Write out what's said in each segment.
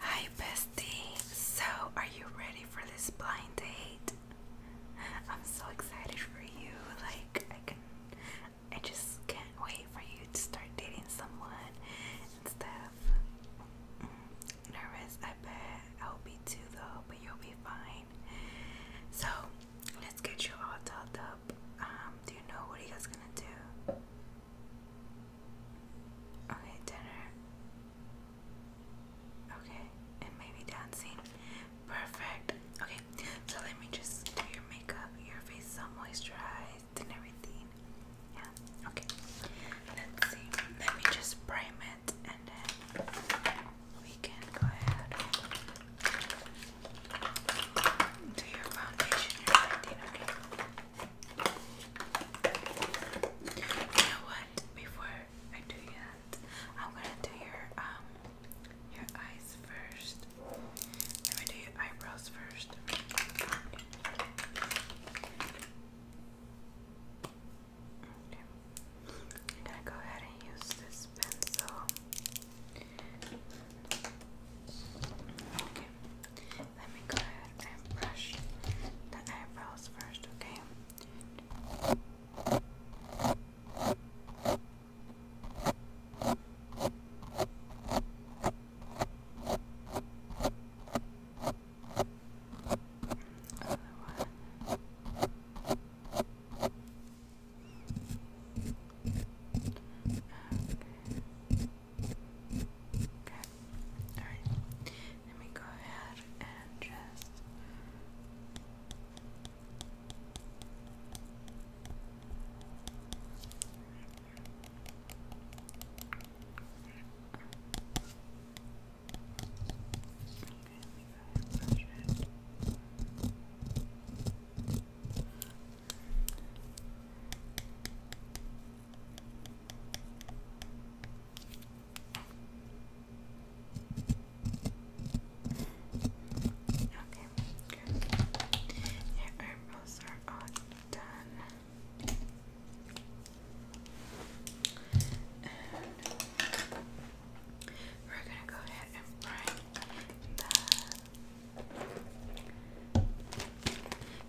Hi, bestie. So, are you ready for this blind date? I'm so excited for you. Like, I can, I just can't wait for you to start dating someone and mm, Nervous, I bet. I'll be too, though, but you'll be fine. So, let's get you all dolled up up. Um, do you know what he was gonna do? Okay, dinner. Okay, and maybe dancing. Perfect. Okay, so let me just do your makeup. Your face is moisturized and everything. Yeah, okay. Let's see. Let me just prime it and then we can go ahead. Do your foundation, your blending, You know what? Before I do that, I'm gonna do your um your eyes first. Let me do your eyebrows first. Okay. I'm gonna go ahead and use this pencil. Okay, let me go ahead and brush the eyebrows first, okay? Other one. Okay. Okay. Alright. Let me go ahead and just Okay, your eyebrows are all done. We're gonna go ahead and prime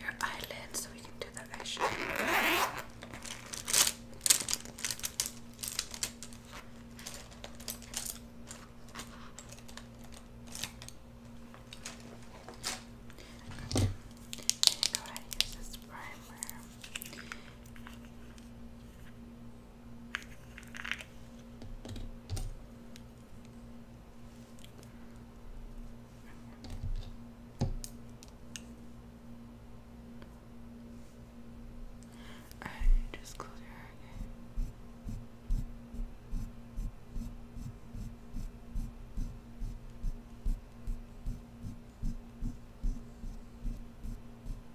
your eyelids so we can do the eyeshadow. Go ahead and use this Alright, just close your eye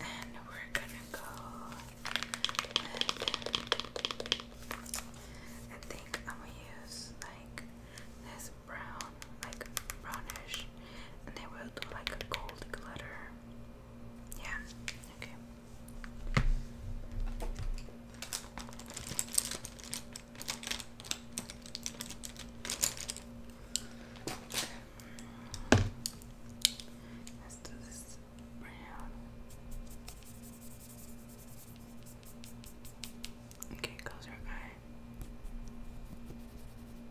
And we're gonna go with, think I'm gonna use like this brown, like brownish, and then will do like gold glitter. Yeah, okay. Let's do this brown. Okay, close your eye. Okay.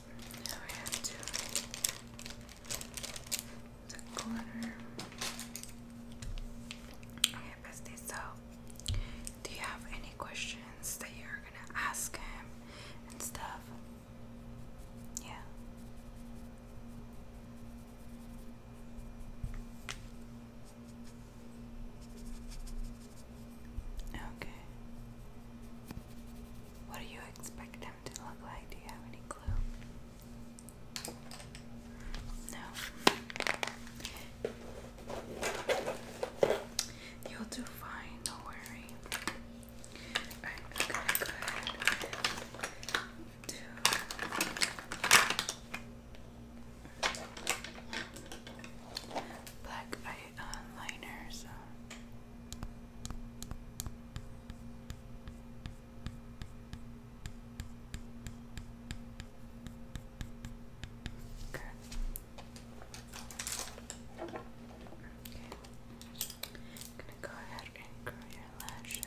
Now have to the glitter. Okay, bestie, so do you have any questions that you're gonna ask him and stuff? Yeah. Okay. What do you expect them to look like? Do you have any clue? No. You'll do fine, do worry. I'm going do black eye uh, liner, Okay. Okay. I'm gonna go ahead and curl your lashes.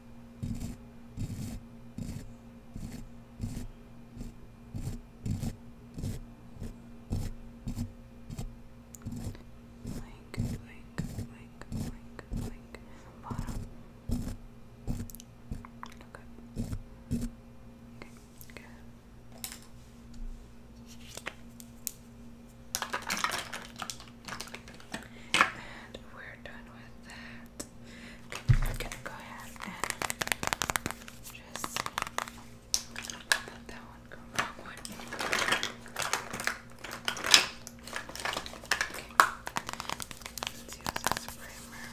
Blink, blink, blink, blink, blink. Bottom. Look up. Okay, And we're done with that that. Okay, gonna go ahead and just let that one go wrong one. Okay, let's use this primer.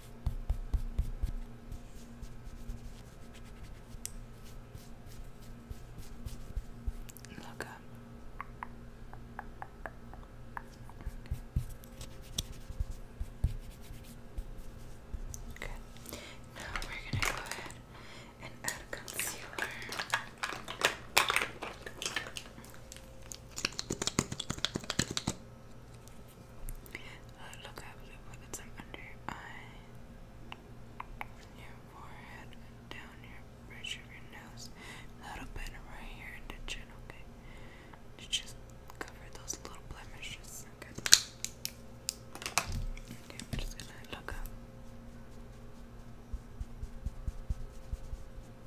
Look up. Okay. Now we're gonna go ahead and add concealer. Uh, look up, look at some under your eye, your forehead, down your bridge of your nose, a little bit right here chin, okay? You just cover those little blemishes, okay? Okay, i just gonna look up. Okay.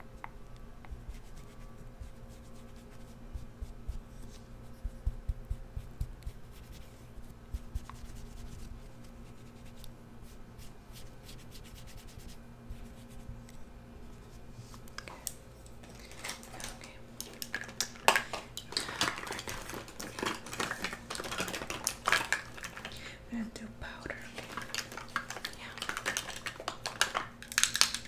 we gonna do powder. Yeah.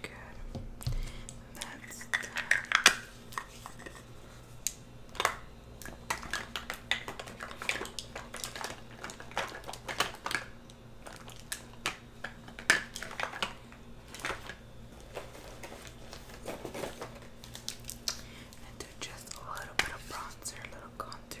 Good. That's done. And do just a little bit of bronzer, a little contour.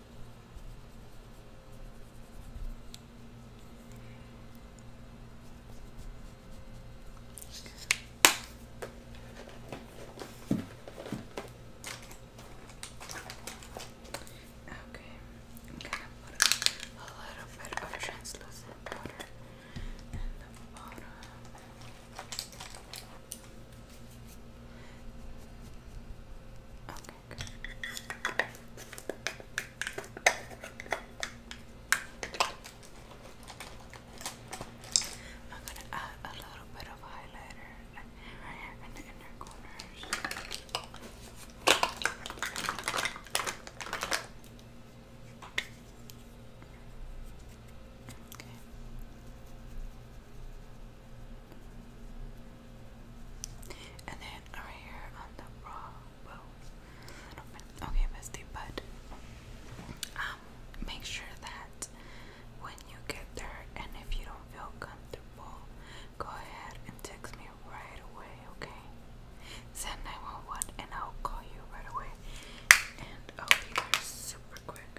Okay, i put a little bit of translucent powder in the bottom. Okay. I'm gonna add a little bit of highlighter right here in the inner corners. Okay. And then right here on the raw bone, a little bit, but um, make sure that when you get there, and if you don't feel comfortable, go ahead and text me right away, okay? Send 911 and I'll call you right away. And I'll be there super quick.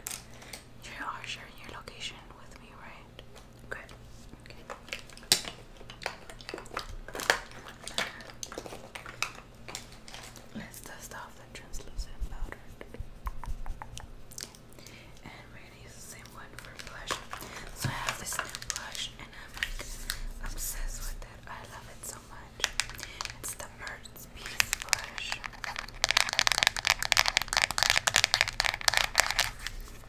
You are sharing your location with me, right? Okay. Let's dust off the translucent powder. And we're gonna use the same one for blush. So I have this new blush and I'm obsessed with it. I love it so much. It's the Mertz Peace blush.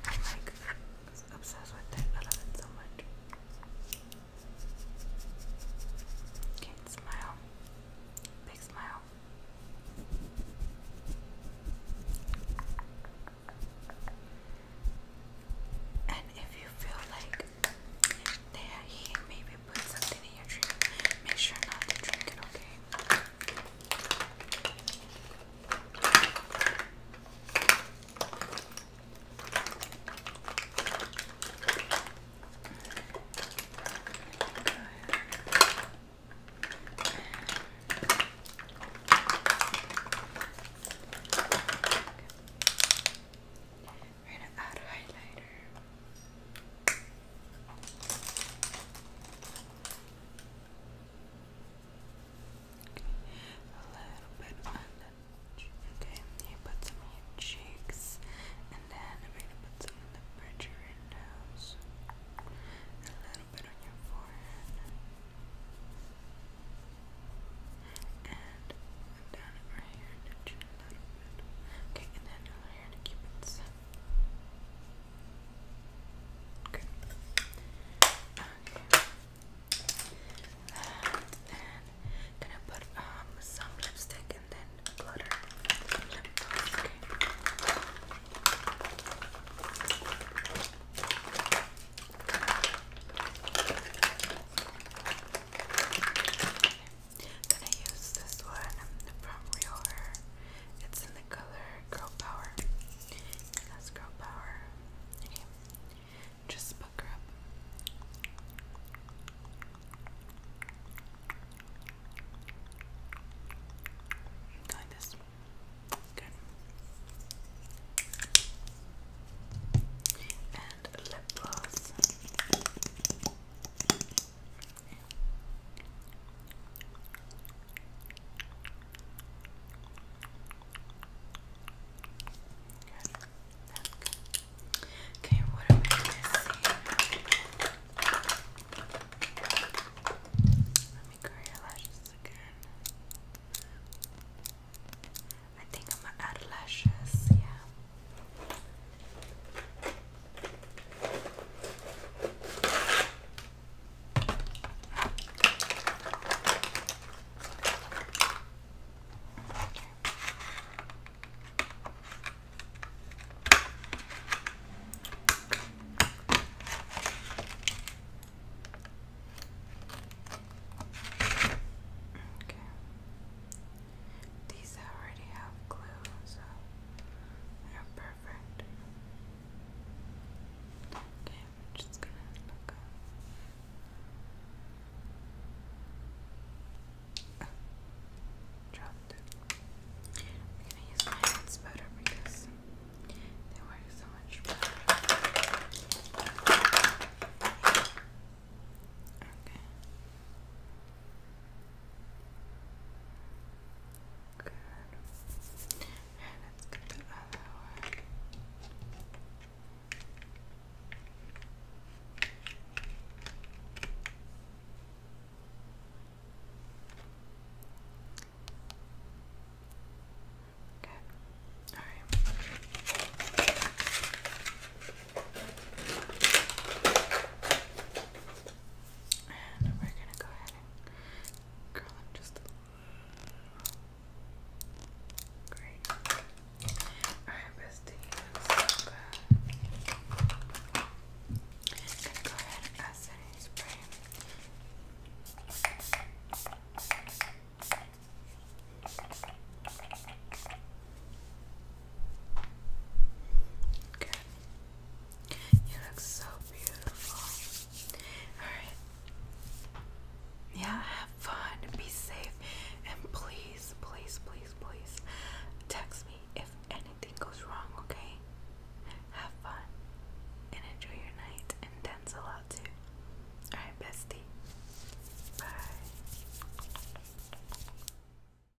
I'm like obsessed with it. I love it so much. can smile. Big smile. And if you feel like that he maybe put something in your drink, make sure not to drink it, okay? We're gonna add highlighter. Okay, a little bit on the you cheeks and then I'm gonna put some in the bridge of your nose. A little bit on your forehead. And down right here in the chin a Okay, and then over here to keep it centered. Okay. gonna put um some lipstick and then glitter. Okay. Gonna use this one from Real It's in the color girl power. That's girl power. Just book her Like this. Good. And lip gloss. Good. Okay, what am I missing? Let me curl your lashes again. I think I'm gonna add lashes, yeah. Okay. These already have glue, so they're Okay, I'm just gonna look up. Oh, dropped it. I'm gonna use my hands better because they work so much better. Okay. Good. And let's get the other one. Good. All right. And we're gonna go ahead and curl it just a little. Great. Alright, bestie, let's stop. gonna go ahead and add setting spray. You look so beautiful. Alright. Yeah, have fun. Be safe. And please, please, please, please text me if anything goes wrong, okay? Have fun and enjoy your night and dance a lot too. Alright, bestie. Bye.